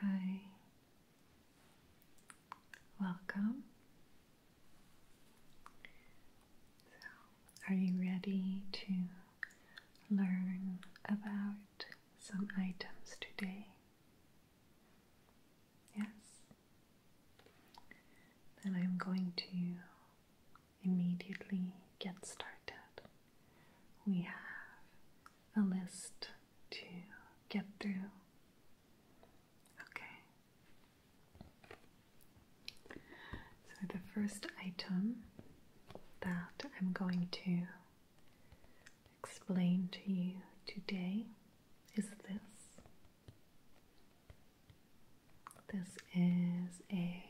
Hi. Welcome. So, are you ready to learn about some items today? Yes. Then I'm going to immediately get started. We have a list to get through. Okay. So, the first item that I'm going to explain to you today is this. This is a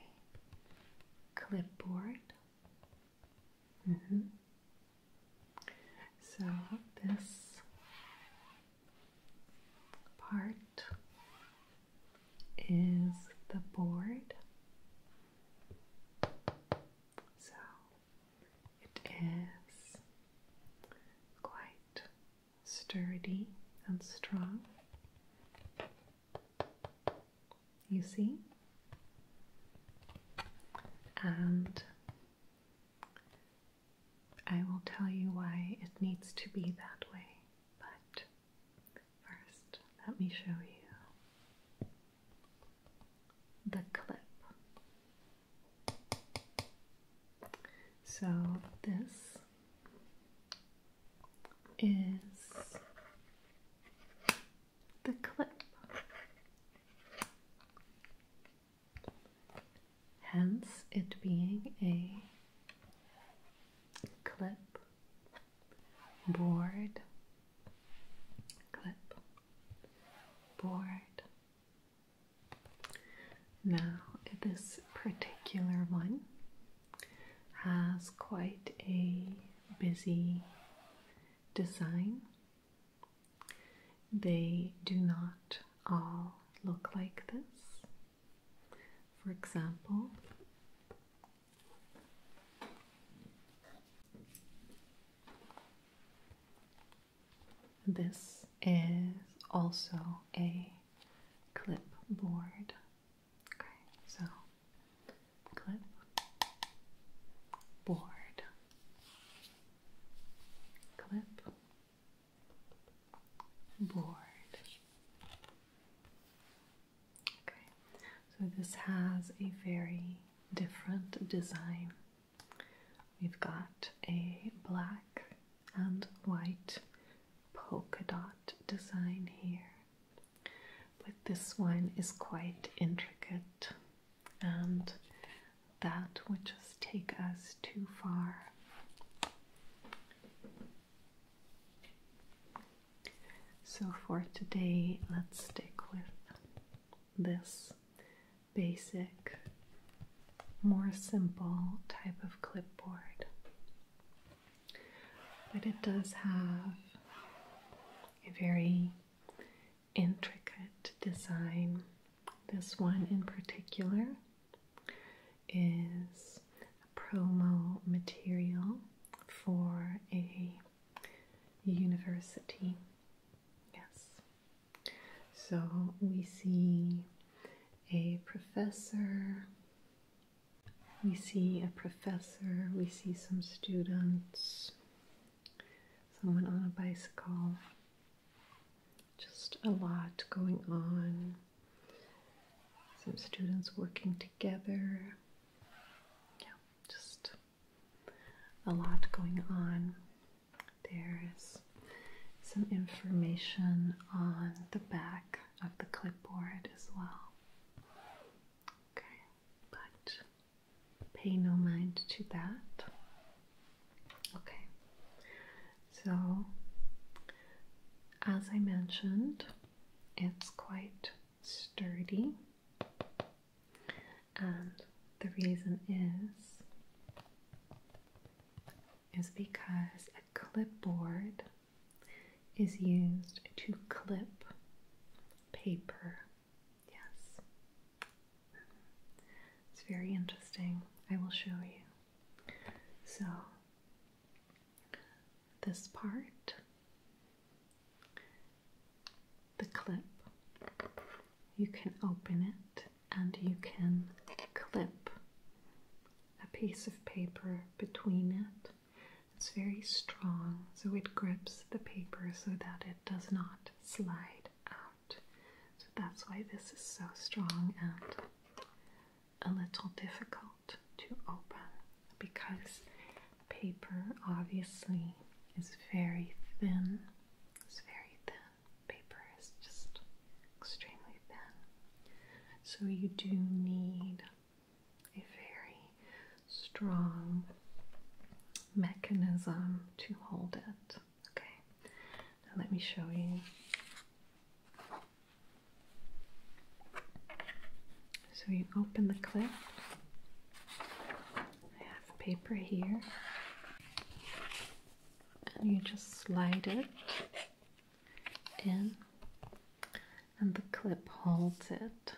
clipboard Mm -hmm. So this part is the board. So it is quite sturdy and strong. You see? And I will tell you why it needs to be that way, but first, let me show you the clip. So, this is the clip. Hence it being a clip board clip board. Now this particular one has quite a busy design. They do not all look like this. For example, this is also a clipboard. Okay, so clip, board, clip, board. Okay, so this has a very different design. We've got a black and white polka dot design here but this one is quite intricate, and that would just take us too far. So, for today, let's stick with this basic, more simple type of clipboard. But it does have a very intricate design. This one in particular is a promo material for a university. Yes. So we see a professor, we see a professor, we see some students, someone on a bicycle. Just a lot going on. Some students working together. Yeah, just a lot going on. There's some information on the back of the clipboard as well. Okay, but pay no mind to that. Okay, so as I mentioned, it's quite sturdy, and the reason is is because a clipboard is used to clip paper Yes. It's very interesting. I will show you. So, this part, the clip, you can open it and you can clip a piece of paper between it it's very strong, so it grips the paper so that it does not slide out. So that's why this is so strong and a little difficult to open because paper obviously is very thin. It's very thin. Paper is just extremely thin. So you do need a very strong mechanism to hold it. Okay, now let me show you. So you open the clip. I have paper here. And you just slide it in, and the clip holds it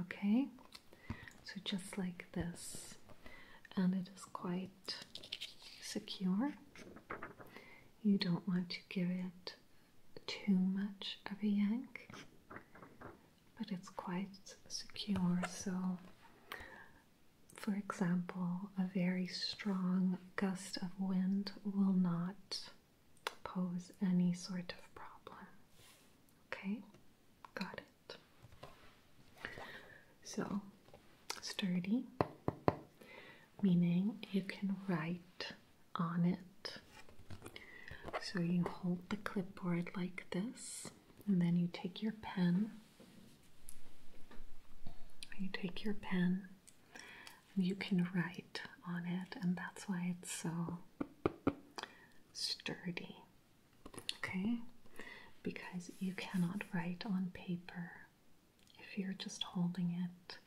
okay? So just like this, and it is quite secure. You don't want to give it too much of a yank, but it's quite secure. So, for example, a very strong gust of wind will not pose any sort of problem. Okay? Got it. So, sturdy, meaning you can write on it. So, you hold the clipboard like this, and then you take your pen. You take your pen and you can write on it, and that's why it's so sturdy. Okay? Because you cannot write on paper if you're just holding it.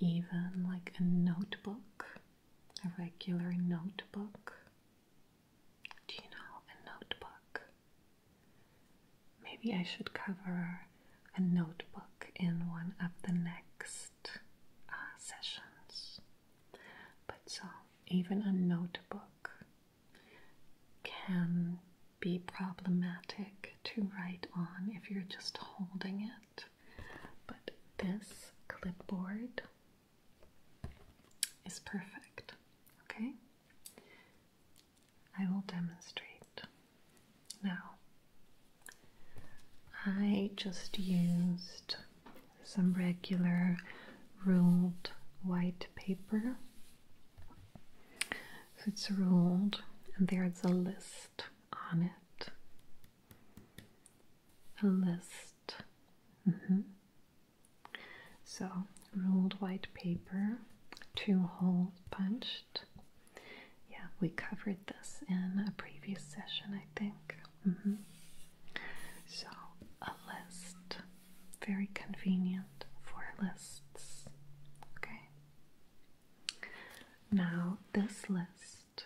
Even like a notebook, a regular notebook. Do you know a notebook? Maybe I should cover a notebook in one of the next uh, sessions. But so even a notebook, can be problematic to write on if you're just holding it. But this clipboard is perfect, okay? I will demonstrate. Now, I just used some regular ruled white paper. So it's ruled, and there's a list on it. A list. Mm-hmm. So, ruled white paper, two holes punched. Yeah, we covered this in a previous session, I think. Mm-hmm. So, a list. Very convenient for lists. Okay. Now, this list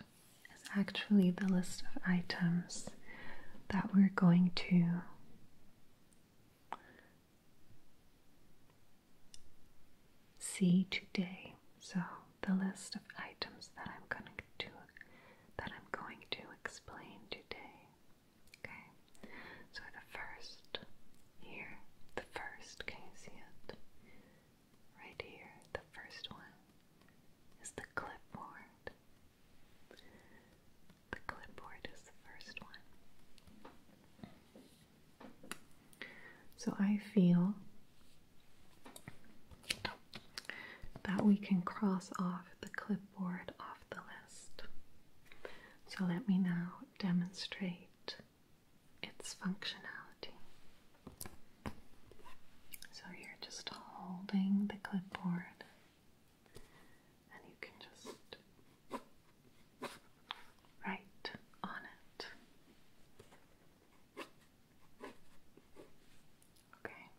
is actually the list of items that we're going to see today. So, the list of items that I'm going to to that I'm going to explain today. Okay? So the first here, the first, can you see it? Right here, the first one is the clipboard. The clipboard is the first one. So I feel that we can cross off the clipboard off the list. So let me now demonstrate its functionality. So you're just holding the clipboard and you can just write on it. Okay.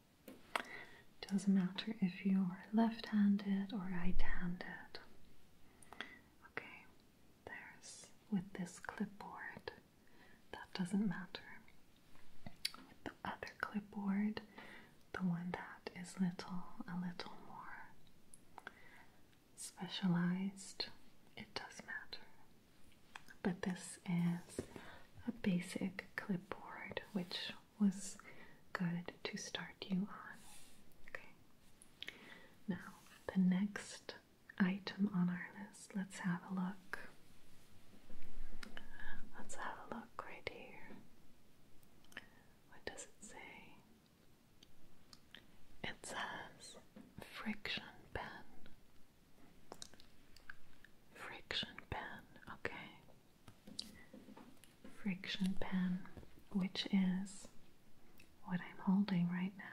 Doesn't matter if you're left handed or right handed. Okay, there's with this clipboard, that doesn't matter. With the other clipboard, the one that is little, a little more specialized, it does matter. But this is a basic clipboard, which was good to start you on. Okay. Now, the next item on our list, let's have a look. Let's have a look right here. What does it say? It says friction pen. Friction pen, okay. Friction pan, which is what I'm holding right now.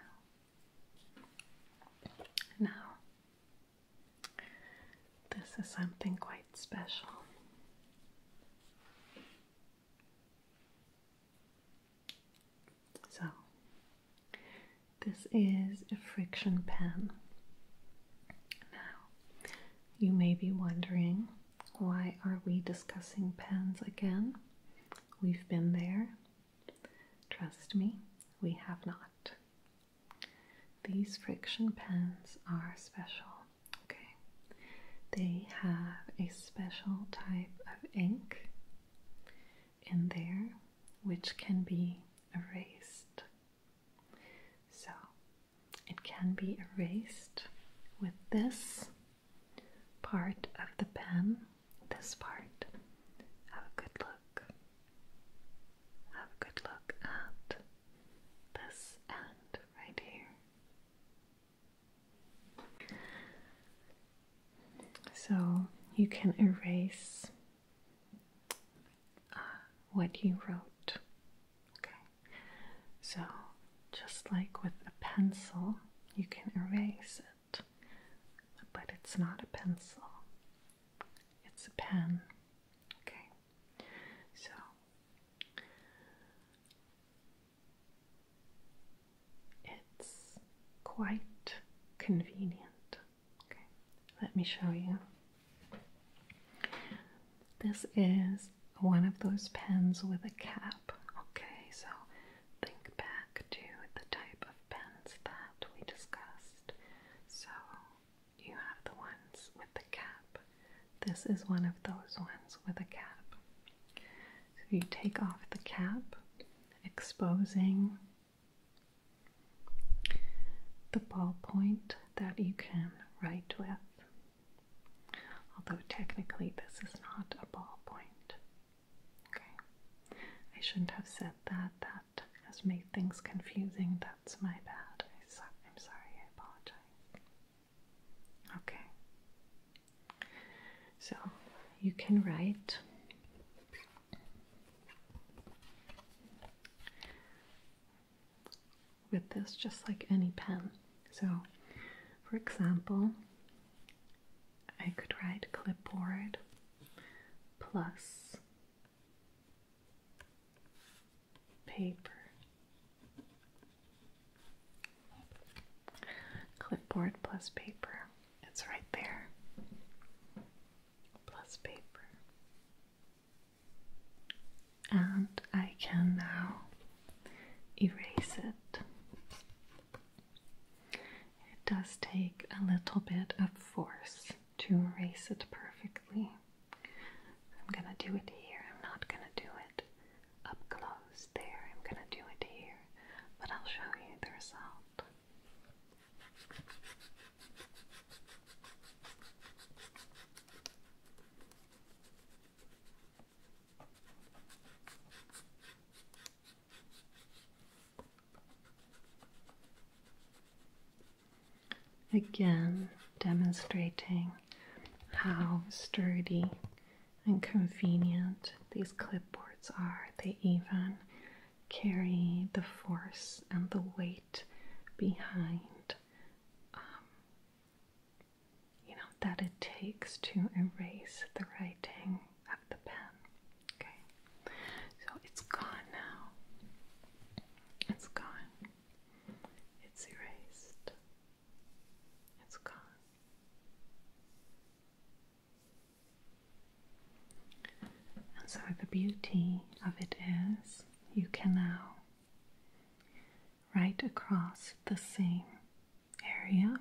Now, this is something quite special. So, this is a friction pen. Now, you may be wondering why are we discussing pens again? We've been there. Trust me, we have not. These friction pens are special, okay? They have a special type of ink in there which can be erased. So it can be erased with this part of the pen, this part. Have a good look. Have a good look at this end right here. So you can erase uh, what you wrote. Okay, so just like with a pencil, you can erase it, but it's not a pencil, it's a pen. Okay, so. It's quite convenient Okay, let me show you. This is one of those pens with a cap. Okay, so think back to the type of pens that we discussed. So you have the ones with the cap. This is one of those ones with a cap. So you take off the cap, exposing the ballpoint that you can write with. Although technically this is not a ballpoint. Okay. I shouldn't have said that. That has made things confusing. That's my bad. I so I'm sorry. I apologize. Okay. So you can write with this, just like any pen. So, for example, I could write clipboard plus paper. Clipboard plus paper. It's right there. Plus paper and I can now erase it. It does take a little bit of force to erase it perfectly. I'm gonna do it here, I'm not gonna do it up close there, I'm gonna do it here, but I'll show you the result. Again, demonstrating how sturdy and convenient these clipboards are. They even carry the force and the weight behind um, you know, that it takes to erase the writing of the pen. Okay, so it's gone now. It's gone. It's erased. It's gone. And so the beauty of it is you can now right across the same area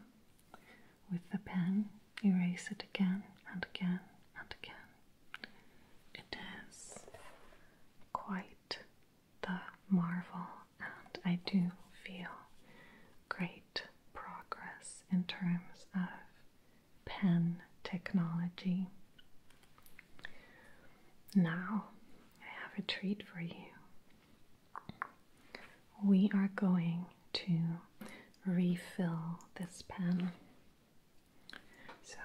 with the pen, erase it again and again and again. It is quite the marvel, and I do feel great progress in terms of pen technology. Now, I have a treat for you. We are going to refill this pen. So,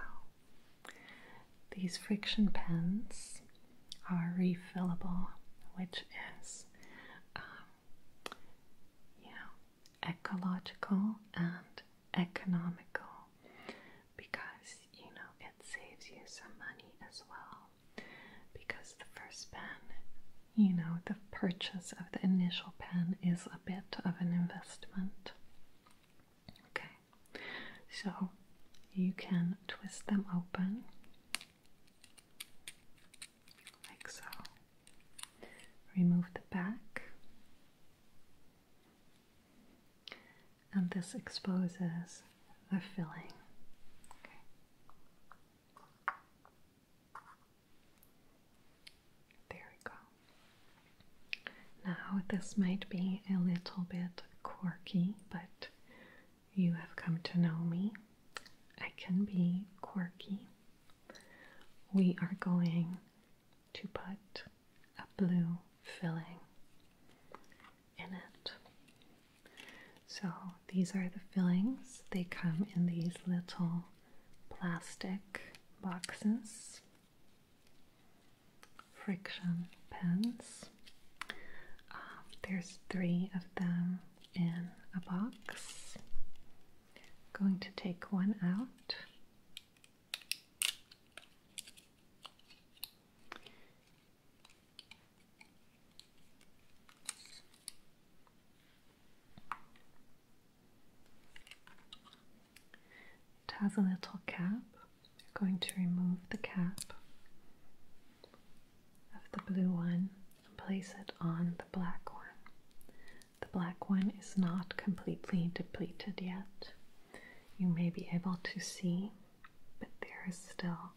these friction pens are refillable, which is um, yeah, ecological and economical because you know it saves you some money as well. Because the first pen, you know, the purchase of the initial pen is a bit of an investment. Okay, so you can twist them open like so, remove the back and this exposes the filling. There we go. Now, this might be a little bit quirky, but you have come to know me. I can be quirky. We are going to put a blue filling in it. So these are the fillings. They come in these little plastic boxes, friction pens. Um, there's three of them in a box. Going to take one out it has a little cap. We're going to remove the cap of the blue one and place it on the black one. The black one is not completely depleted yet you may be able to see, but there is still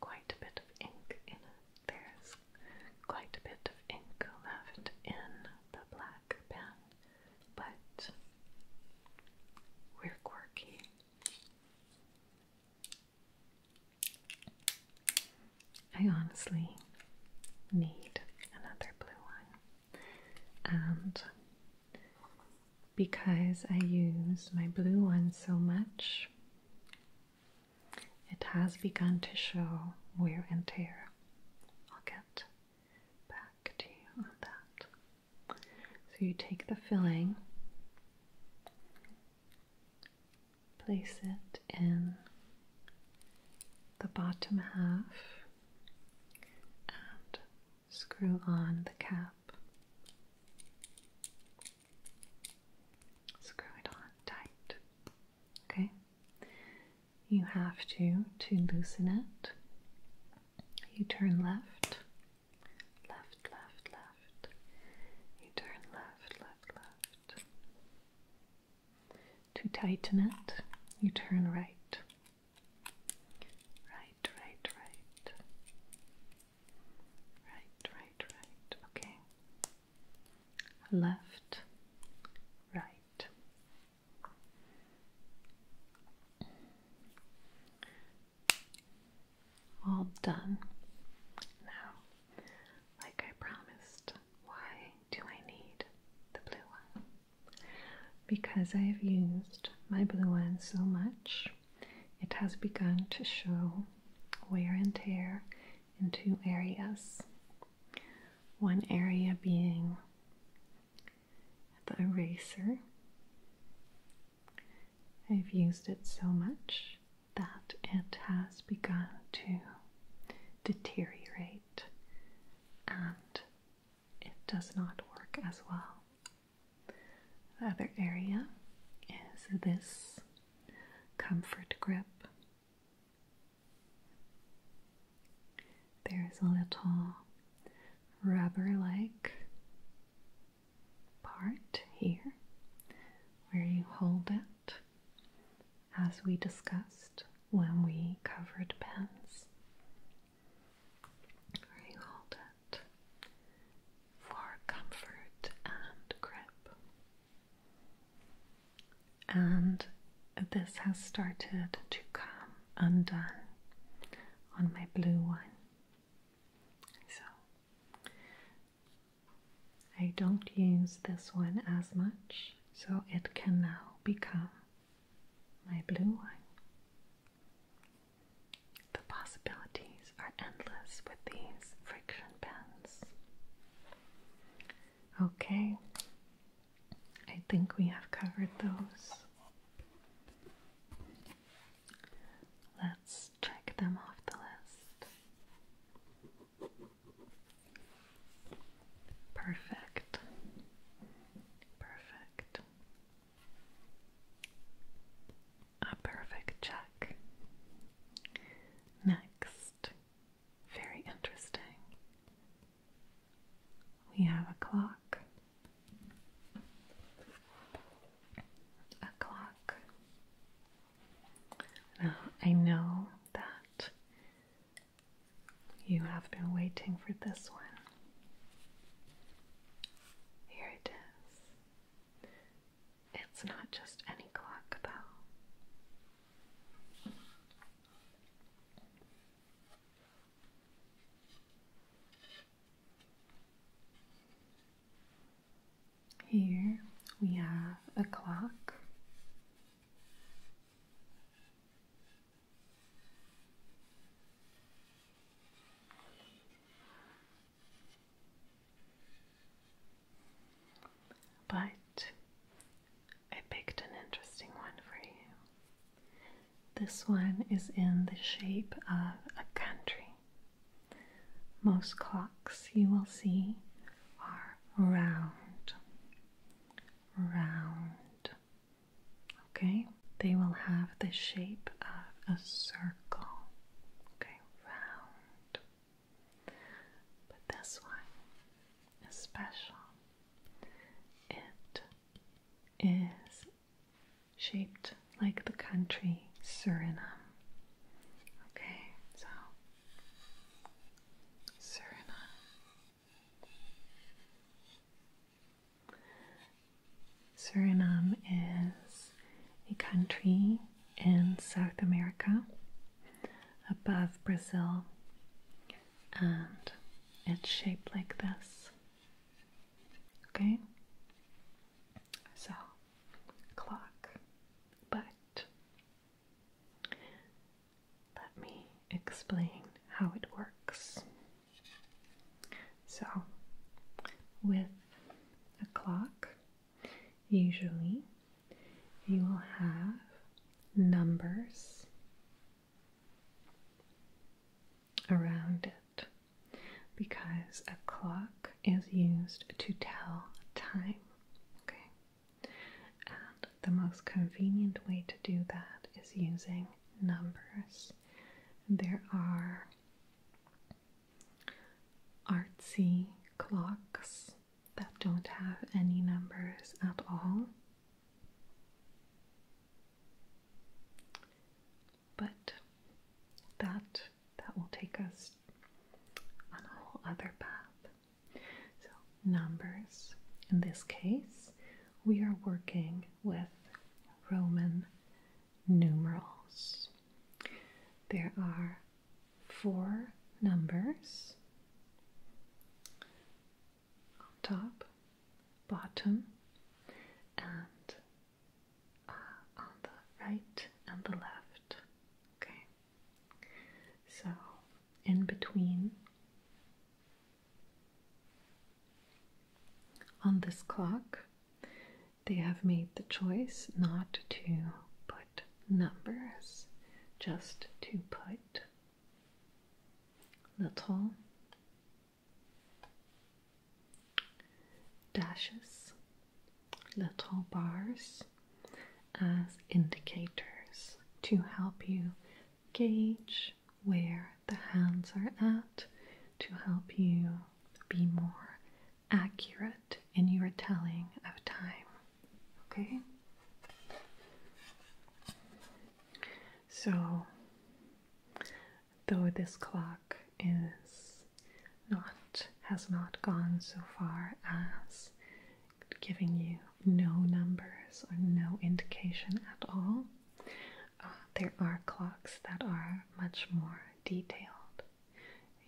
quite a bit of ink in it. There's quite a bit of ink left in the black pen, but we're quirky. I honestly need another blue one, and because I use my blue one so much, it has begun to show wear and tear. I'll get back to you on that. So you take the filling, place it in the bottom half, and screw on the cap. Screw it on tight. Okay? You have to, to loosen it, you turn left, left, left, left. You turn left, left, left. To tighten it, you turn right, Right, right, right. Right, right, right. Okay. Left, right. All done. Now, like I promised, why do I need the blue one? Because I have used my blue one so much, it has begun to show wear and tear in two areas. One area being the eraser. I've used it so much that it has begun to deteriorate and it does not work as well. The other area is this comfort grip. There's a little rubber like part here where you hold it, as we discussed when we covered pens where hold it for comfort and grip. And this has started to come undone on my blue one. So I don't use this one as much, so it can now become my blue one. The possibilities are endless with these friction pens. Okay, I think we have covered those. Let's check them off the list. Perfect. Perfect. A perfect check. Next, very interesting. We have a clock. A clock. Now, I know that you have been waiting for this one here it is. It's not just any clock, though. Here we have a clock but I picked an interesting one for you. This one is in the shape of a country. Most clocks you will see are round, round, Okay, they will have the shape of a circle. Okay, round. But this one is special. It is shaped like the country Suriname. Okay, so Suriname. Suriname is a country in South America above Brazil, and it's shaped like this. Okay? So, clock, but let me explain how it works. So, with a clock, usually you will have numbers around it because a clock is used to tell time. Okay, and the most convenient way to do that is using numbers. There are artsy clocks that don't have any numbers at all. But that that will take us on a whole other path. So numbers in this case we are working with Roman numerals. There are four numbers on top, bottom, and uh, on the right and the left. Okay, so in between on this clock, they have made the choice not to put numbers, just to put little dashes, little bars as indicators to help you gauge where the hands are at to help you be more accurate in your telling of time. Okay? So, though this clock is not has not gone so far as giving you no numbers or no indication at all uh, there are clocks that are much more detailed.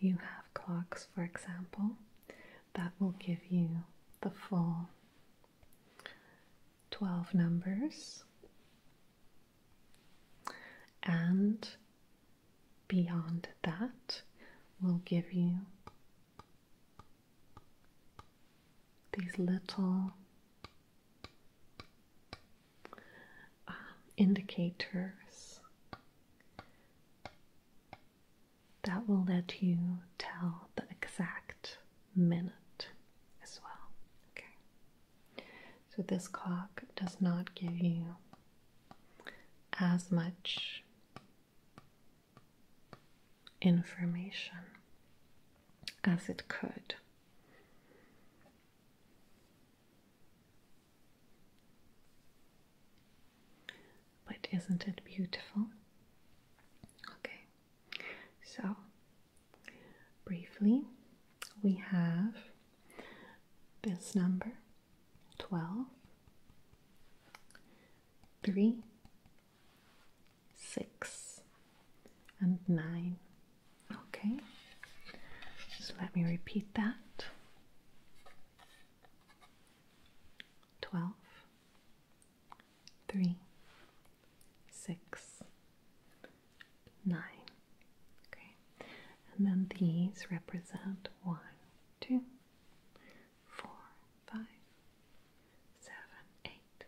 You have clocks, for example, that will give you the full 12 numbers and beyond that will give you these little um, indicators that will let you tell the exact minute as well. Okay, so this clock does not give you as much information as it could but isn't it beautiful? Okay, so briefly, we have this number 12, 3, 6, and 9. Okay, Just let me repeat that Twelve, three, six, nine, Okay, and then these represent one, two, four, five, seven, eight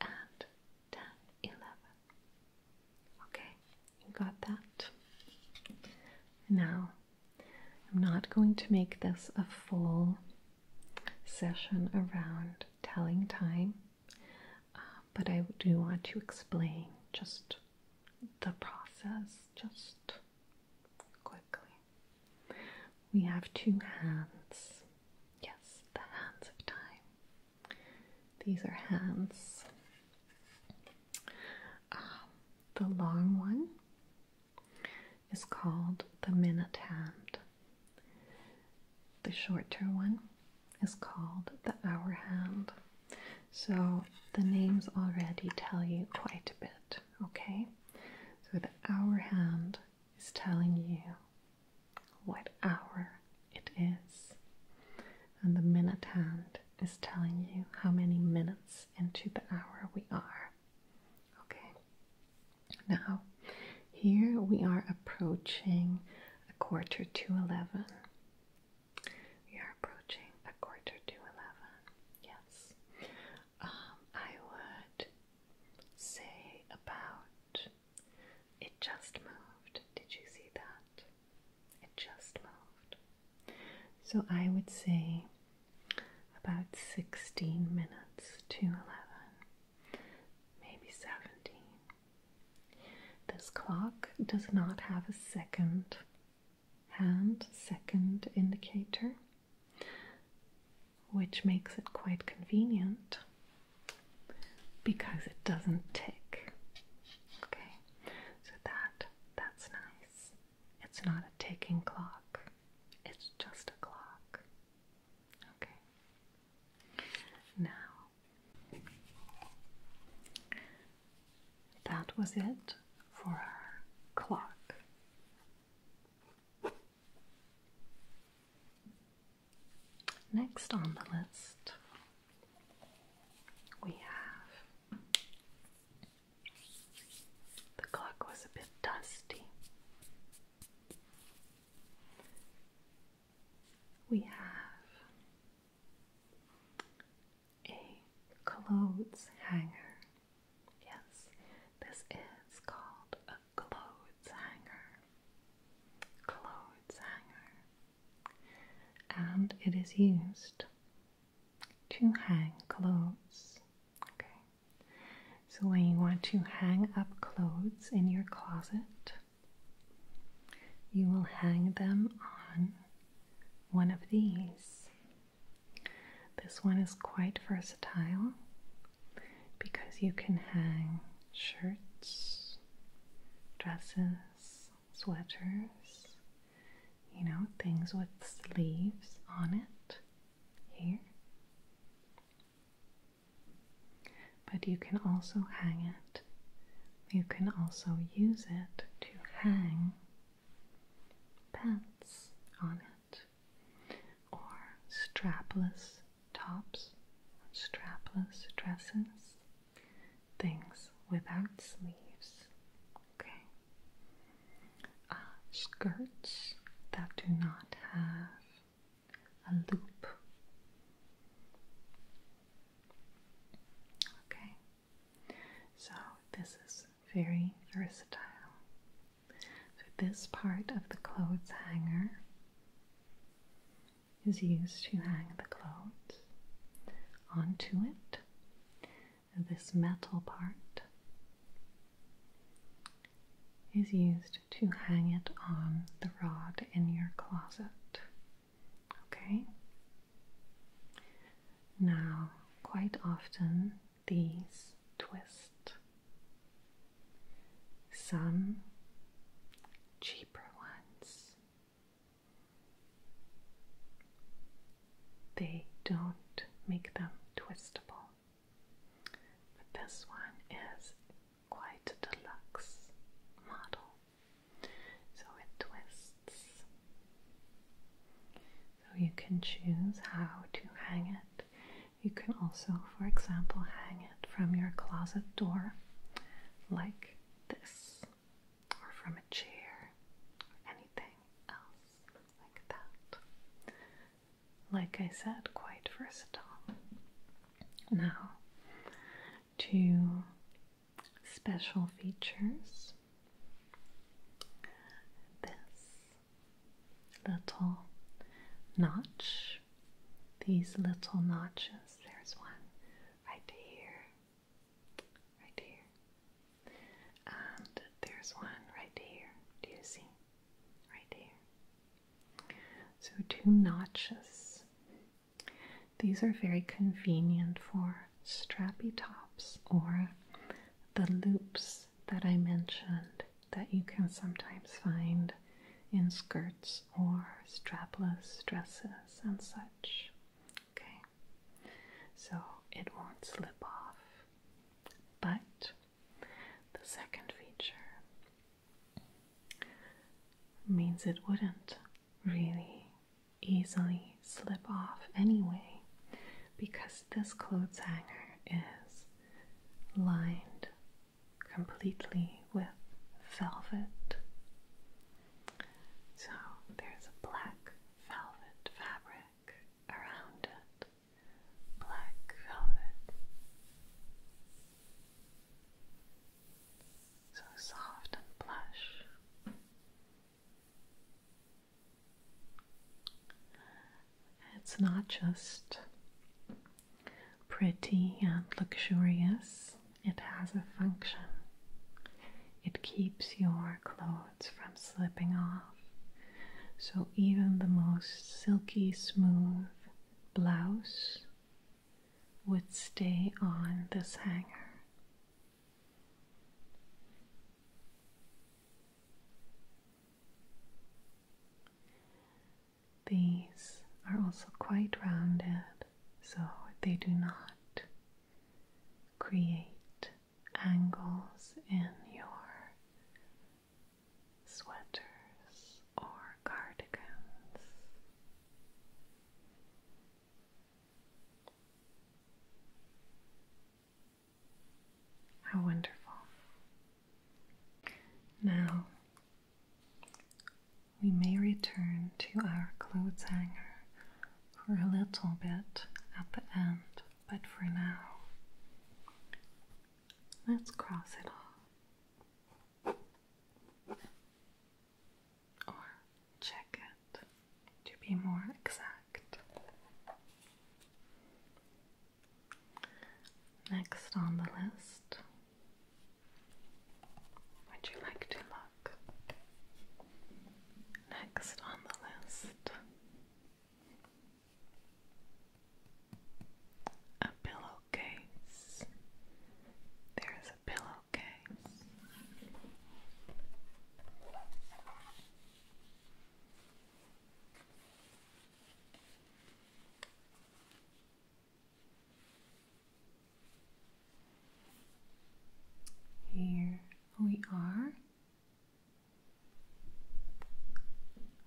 and 10, Okay, you got that. Now, I'm not going to make this a full session around telling time, uh, but I do want to explain just the process, just quickly. We have two hands. Yes, the hands of time. These are hands. Um, the long one is called the minute hand. The shorter one is called the hour hand. So the names already tell you quite a bit, okay? So the hour hand is telling you what hour it is. And the minute hand is telling you how many minutes into the hour we are. Okay, now here we are approaching a quarter to 11. We are approaching a quarter to 11, yes. Um, I would say about it just moved. Did you see that? It just moved. So I would say about 16 minutes to 11, maybe 17. This clock does not have a second hand, second indicator, which makes it quite convenient because it doesn't tick. Okay, so that that's nice. It's not a ticking clock. It's just a clock. Okay. Now that was it for our clock. Next on the list, we have the clock was a bit dusty. We have a clothes hanger. Yes, this is called a clothes hanger. Clothes hanger. And it is used to hang clothes. Okay. So when you want to hang up clothes in your closet, you will hang them on one of these. This one is quite versatile because you can hang shirts, dresses, sweaters, you know, things with sleeves on it here. But you can also hang it. You can also use it to hang pants on it or strapless tops, strapless dresses, things without sleeves, okay? Uh, skirts that do not have a loop. Okay, so this is very versatile. So, this part of the clothes hanger is used to hang the clothes onto it. This metal part is used to hang it on the rod in your closet. Okay? Now, quite often these twist some cheaper ones. They don't make them twistable, but this one is quite a deluxe model, so it twists. So you can choose how to hang it. You can also, for example, hang it from your closet door like this, or from a chair, or anything else like that. Like I said, quite versatile. Now, to special features. This little notch these little notches. There's one right here, right here, and there's one right here. Do you see? Right here. So, two notches. These are very convenient for strappy tops or the loops that I mentioned that you can sometimes find in skirts or strapless dresses and such. Okay, so it won't slip off. But the second feature means it wouldn't really easily slip off anyway because this clothes hanger is lined completely with velvet. So there's a black velvet fabric around it. Black velvet. So soft and plush. It's not just pretty and luxurious, it has a function. It keeps your clothes from slipping off. So, even the most silky smooth blouse would stay on this hanger. These are also quite rounded, so they do not create angles in your sweaters or cardigans. How wonderful. Now, we may return to our clothes hanger for a little bit at the end, but for now, let's cross it off or check it to be more exact. Next on the list would you like to look? Next on the list a pillowcase. There's a pillowcase. Here we are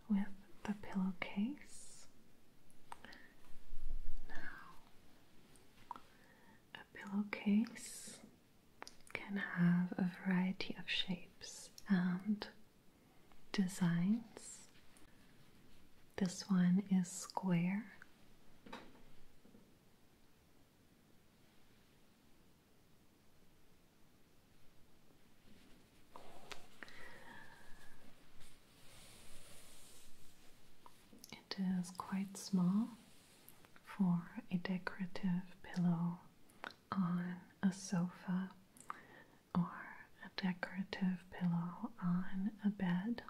with the pillowcase. Now, a pillowcase can have a variety of shapes and designs. This one is square. It is quite small for a decorative pillow on a sofa or a decorative pillow on a bed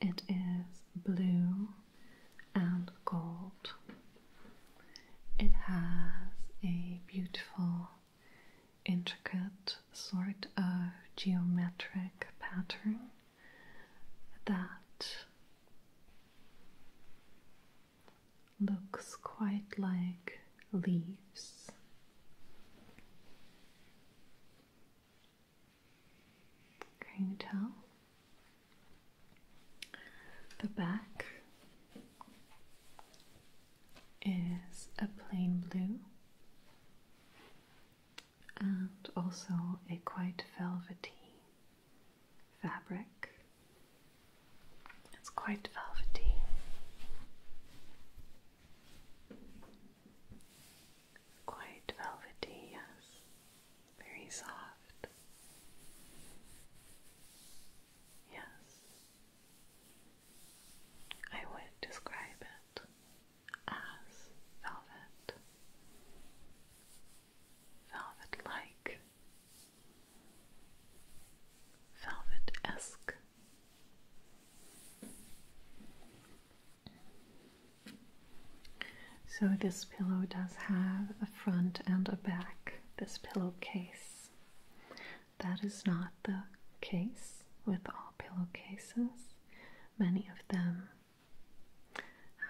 it is blue and gold. It has a beautiful, intricate sort of geometric pattern that looks quite like leaves. Can you tell? The back is a plain blue and also a quite velvety fabric it's quite velvety. Quite velvety, yes. Very soft. Yes. I would describe it as velvet. Velvet like. Velvet esque. So, this pillow does have a front and a back, this pillowcase. That is not the case with all pillowcases. Many of them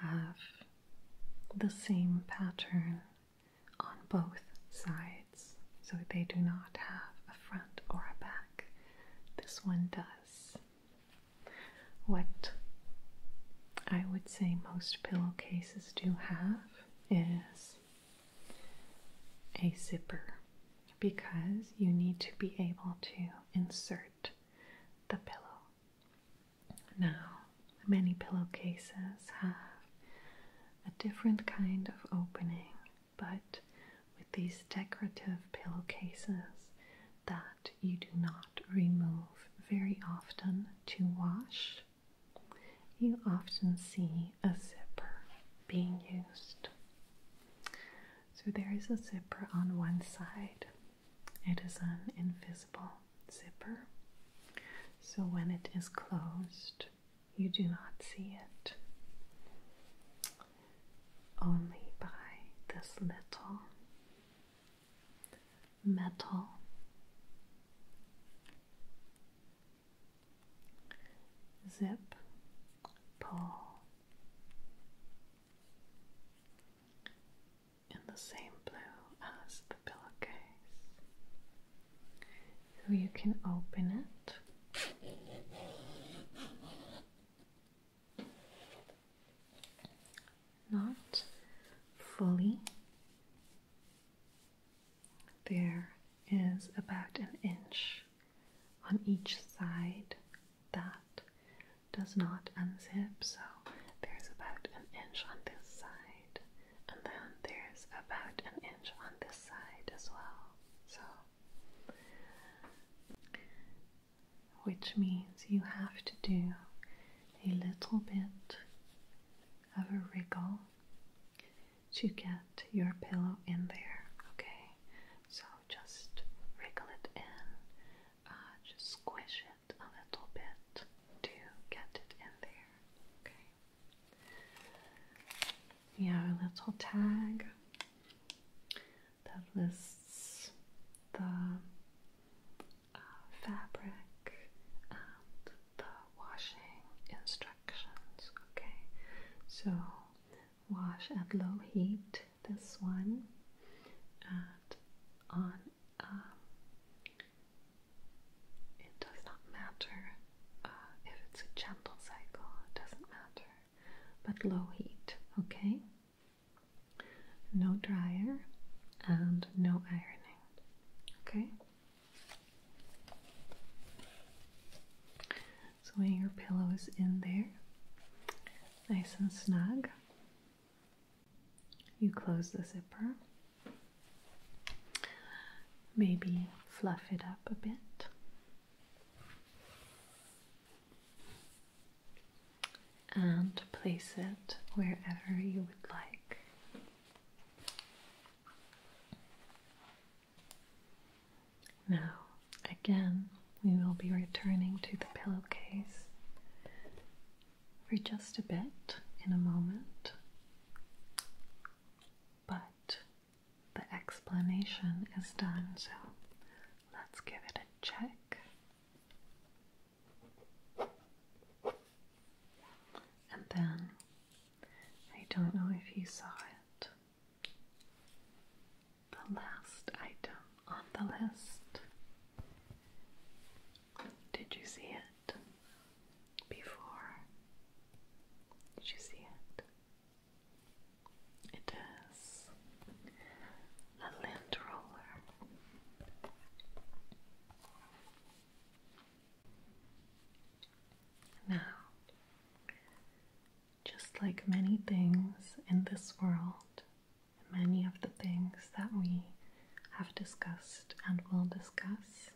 have the same pattern on both sides. So they do not have a front or a back. This one does. What I would say most pillowcases do have is a zipper because you need to be able to insert the pillow. Now, many pillowcases have a different kind of opening but with these decorative pillowcases that you do not remove very often to wash, you often see a zipper being used. So there is a zipper on one side, it is an invisible zipper. So when it is closed, you do not see it. Only by this little metal zip pull in the same blue as the pillowcase. So you can open it not fully. There is about an inch on each side that does not unzip, so there's about an inch on this side and then there's about an inch on this side as well. So, which means you have to do a little bit of a wriggle to get your pillow in there, okay? So just wriggle it in, uh, just squish it a little bit to get it in there, okay? Yeah, a little tag that lists the uh, fabric and the washing instructions. Okay, so wash at low heat this one and on. Um, it does not matter uh, if it's a gentle cycle, it doesn't matter, but low heat, okay? No dryer and no ironing, okay? So your pillow is in there, nice and snug, you close the zipper. Maybe fluff it up a bit. And place it wherever you would like. Now, again, we will be returning to the pillowcase for just a bit in a moment, but the explanation is done, so let's give it a check. And then I don't know if you saw it. The last item on the list. Did you see it before? Did you see it? It is a lint roller. Now, just like many things in this world, many of the things that we have discussed and will discuss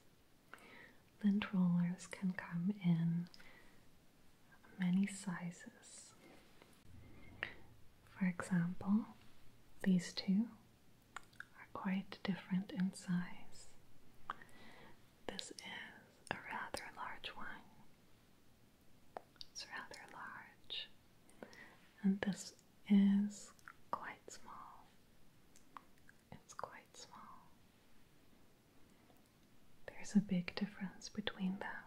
Lint rollers can come in many sizes. For example, these two are quite different in size. This is a rather large one. It's rather large. And this is quite small. It's quite small. There's a big difference between them.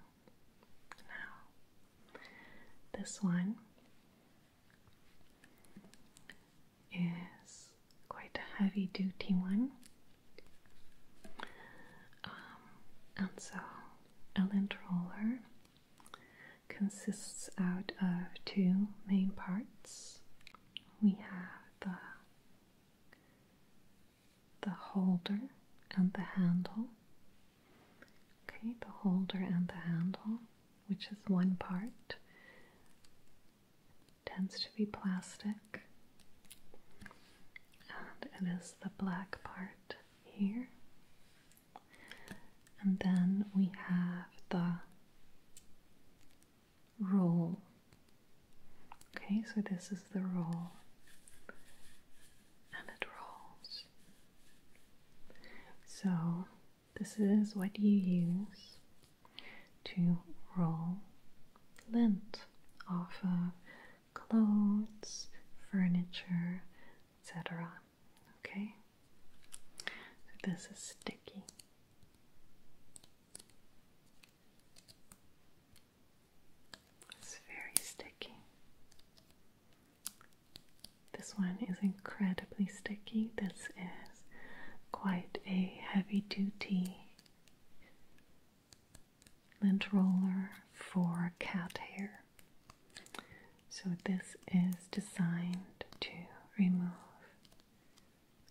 Now, this one is quite a heavy duty one. Um, and so a lint roller consists out of two main parts. We have the the holder and the handle. Okay, the holder and the handle, which is one part, tends to be plastic, and it is the black part here. And then we have the roll. Okay, so this is the roll, and it rolls. So, this is what you use to roll lint off of clothes, furniture, etc. Okay, this is sticky. It's very sticky. This one is incredibly sticky. This is quite a heavy duty lint roller for cat hair. So, this is designed to remove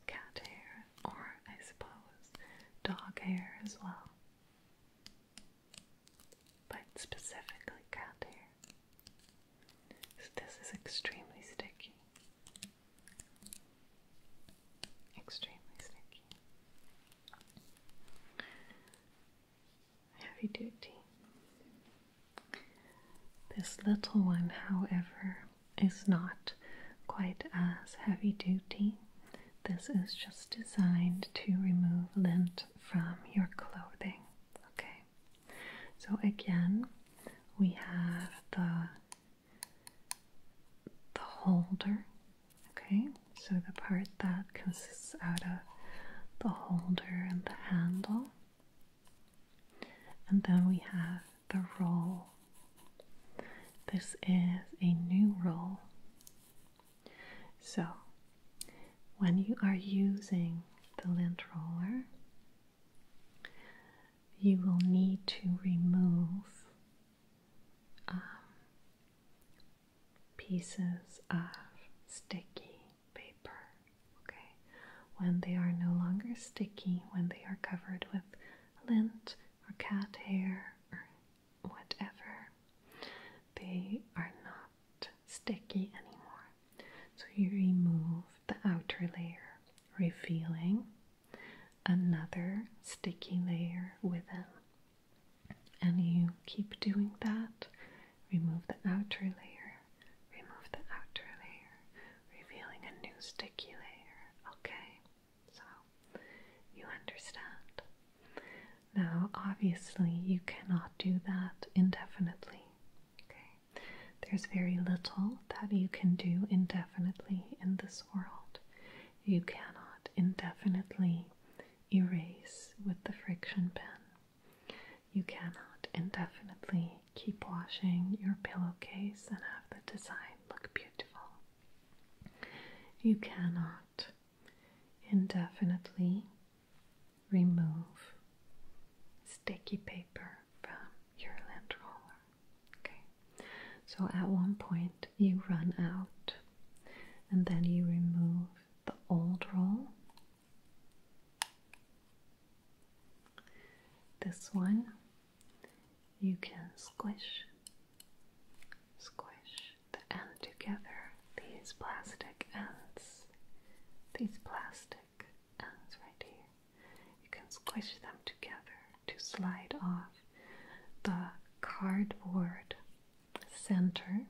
cat hair, or I suppose dog hair as well, but specifically cat hair. So this is extremely sticky. Extremely sticky. Heavy duty. This little one, however, is not quite as heavy duty. This is just designed to remove lint from your clothing. Okay, so again, we have the the holder. Okay, so the part that consists out of the holder and the handle, and then we have the roll. This is a new roll. So, when you are using the lint roller, you will need to remove um, pieces of sticky paper. Okay, when they are no longer sticky, when they are covered with lint or cat hair or whatever, they are not sticky anymore. So you remove the outer layer, revealing another sticky layer within. And you keep doing that. Remove the outer layer, remove the outer layer, revealing a new sticky layer. Okay. So you understand. Now, obviously, you cannot do that indefinitely. Okay? There's very little that you can do indefinitely in this world. You cannot indefinitely erase with the friction pen. You cannot indefinitely keep washing your pillowcase and have the design look beautiful. You cannot indefinitely remove sticky paper from your lint roller. Okay, so at one point you run out, and then you remove the old roll. This one you can squish, squish the end together. These plastic ends, these plastic ends right here, you can squish them together to slide off the cardboard center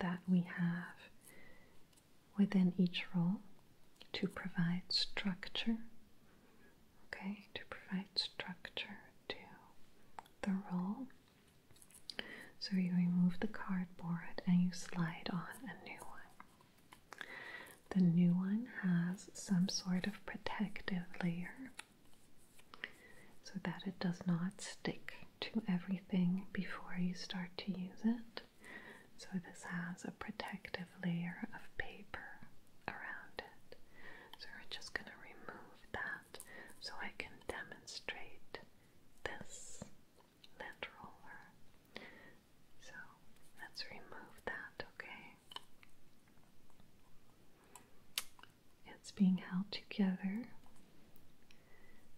that we have within each roll to provide structure okay, to provide structure to the roll. So you remove the cardboard and you slide on a new one. The new one has some sort of protective layer so that it does not stick to everything before you start to use it. So, this has a protective layer of paper around it so we're just going to remove that so I can demonstrate this lint roller. So let's remove that, okay? It's being held together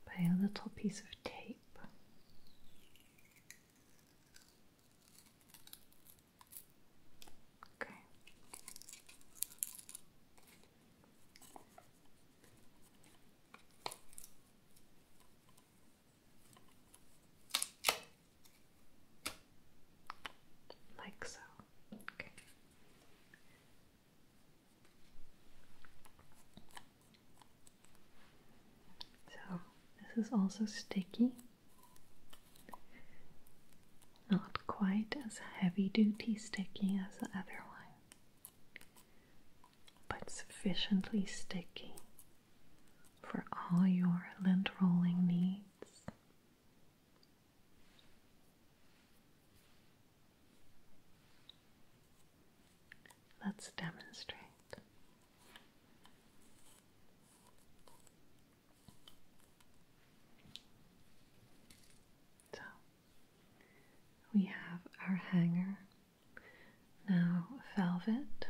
by a little piece of tape. Like so. So, this is also sticky. Not quite as heavy duty sticky as the other one, but sufficiently sticky for all your lint rolling needs. Let's demonstrate. So we have our hanger now. Velvet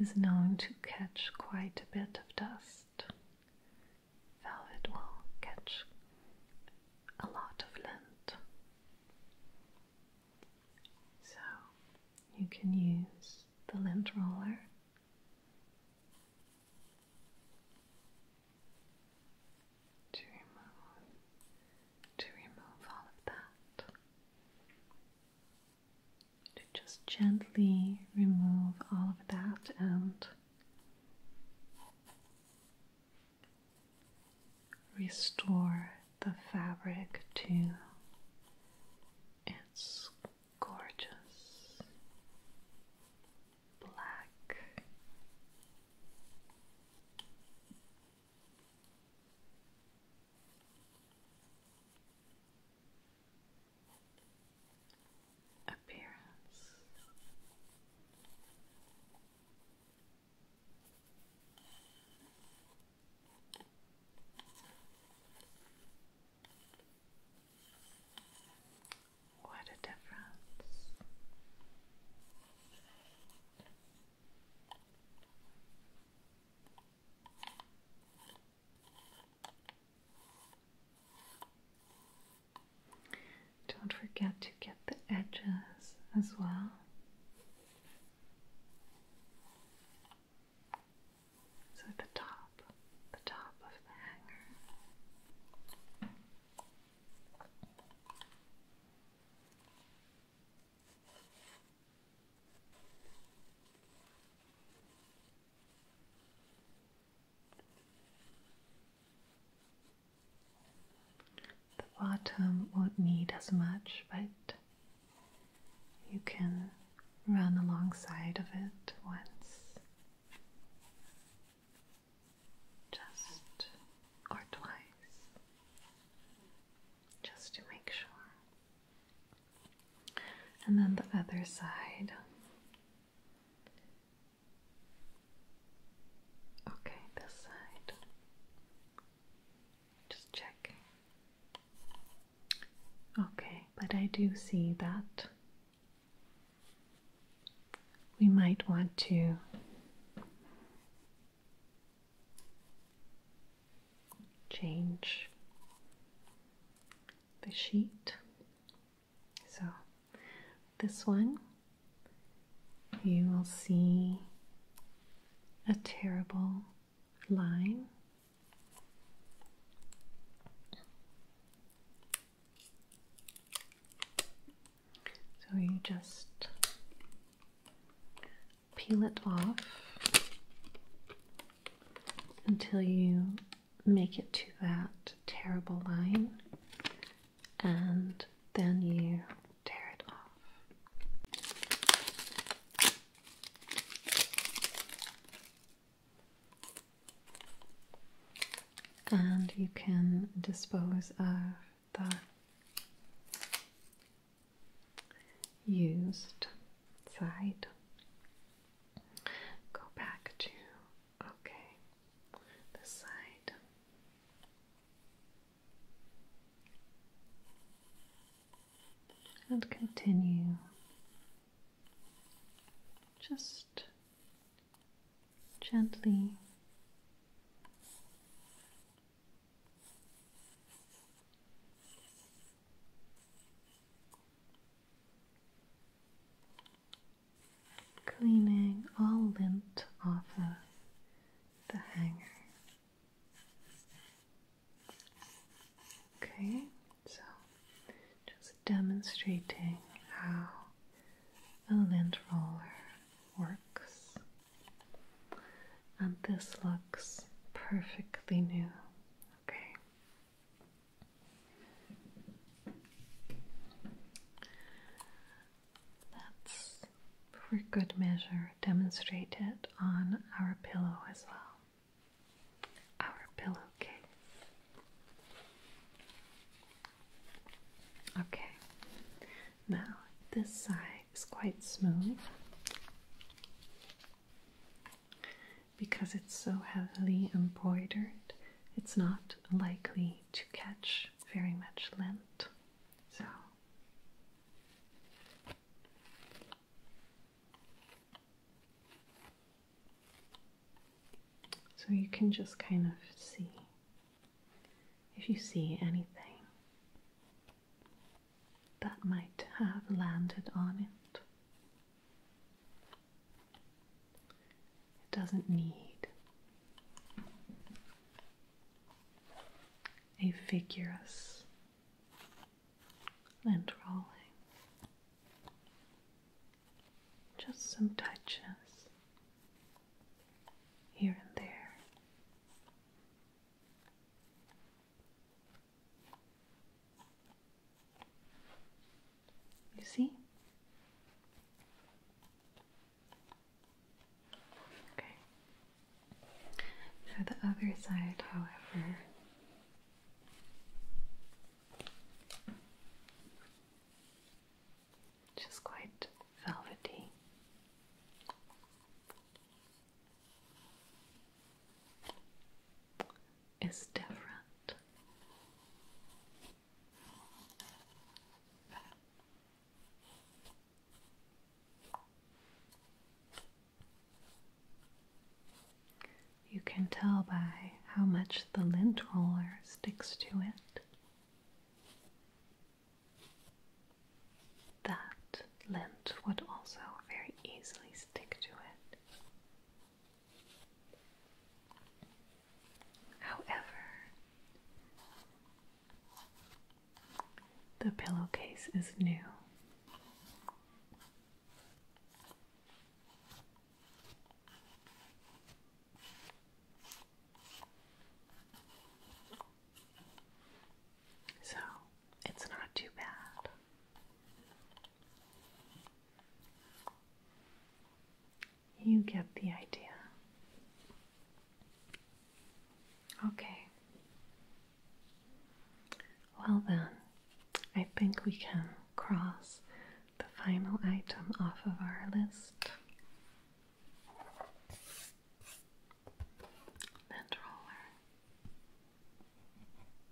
is known to catch quite a bit of dust. Velvet will catch a lot of lint. So you can use the lint roller to remove to remove all of that to just gently remove all of that and restore the fabric to its gorgeous black. Appearance what a difference. Don't forget to get the edges as well. So the top, the top of the hanger. The bottom won't need as much, but you can run alongside of it once, just or twice, just to make sure. And then the other side. Okay, this side. Just checking. Okay, but I do see that we might want to change the sheet. So, this one you will see a terrible line so you just peel it off until you make it to that terrible line and then you tear it off and you can dispose of the used side. Go back to okay, this side. And continue just gently cleaning all lint off of the hanger. Okay, so just demonstrating how a lint roller works. And this looks perfectly new. Okay. Let's, for good measure, demonstrate it on our pillow as well our pillowcase. Okay, now this side is quite smooth because it's so heavily embroidered, it's not likely to catch very much lint. So so you can just kind of see if you see anything that might have landed on it. It doesn't need a vigorous and rolling. Just some touches here and there. You see? Okay. For the other side, however, which quite velvety. Is different. You can tell by how much the lint roller sticks to it. That lint would also very easily stick to it. However, the pillowcase is new. So it's not too bad. You get the idea. Okay. Well, then, I think we can cross the final item off of our list lint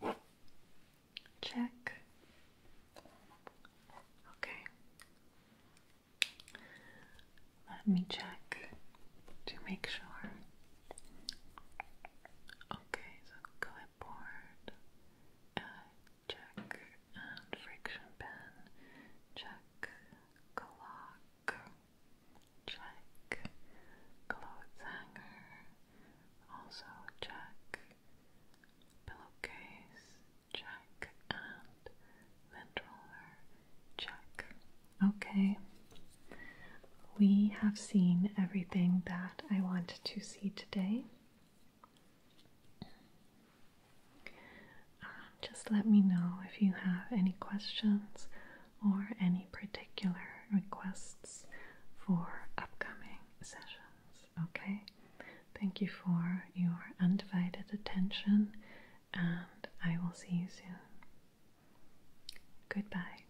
roller. Check. Okay. Let me check to make sure. Okay, so go clipboard, check and friction pen, check clock, check clothes hanger, also check pillowcase, check and lint roller, check. Okay, we have seen everything that I want to see today. Uh, just let me know if you have any questions or any particular requests for upcoming sessions. Okay? Thank you for your undivided attention, and I will see you soon. Goodbye.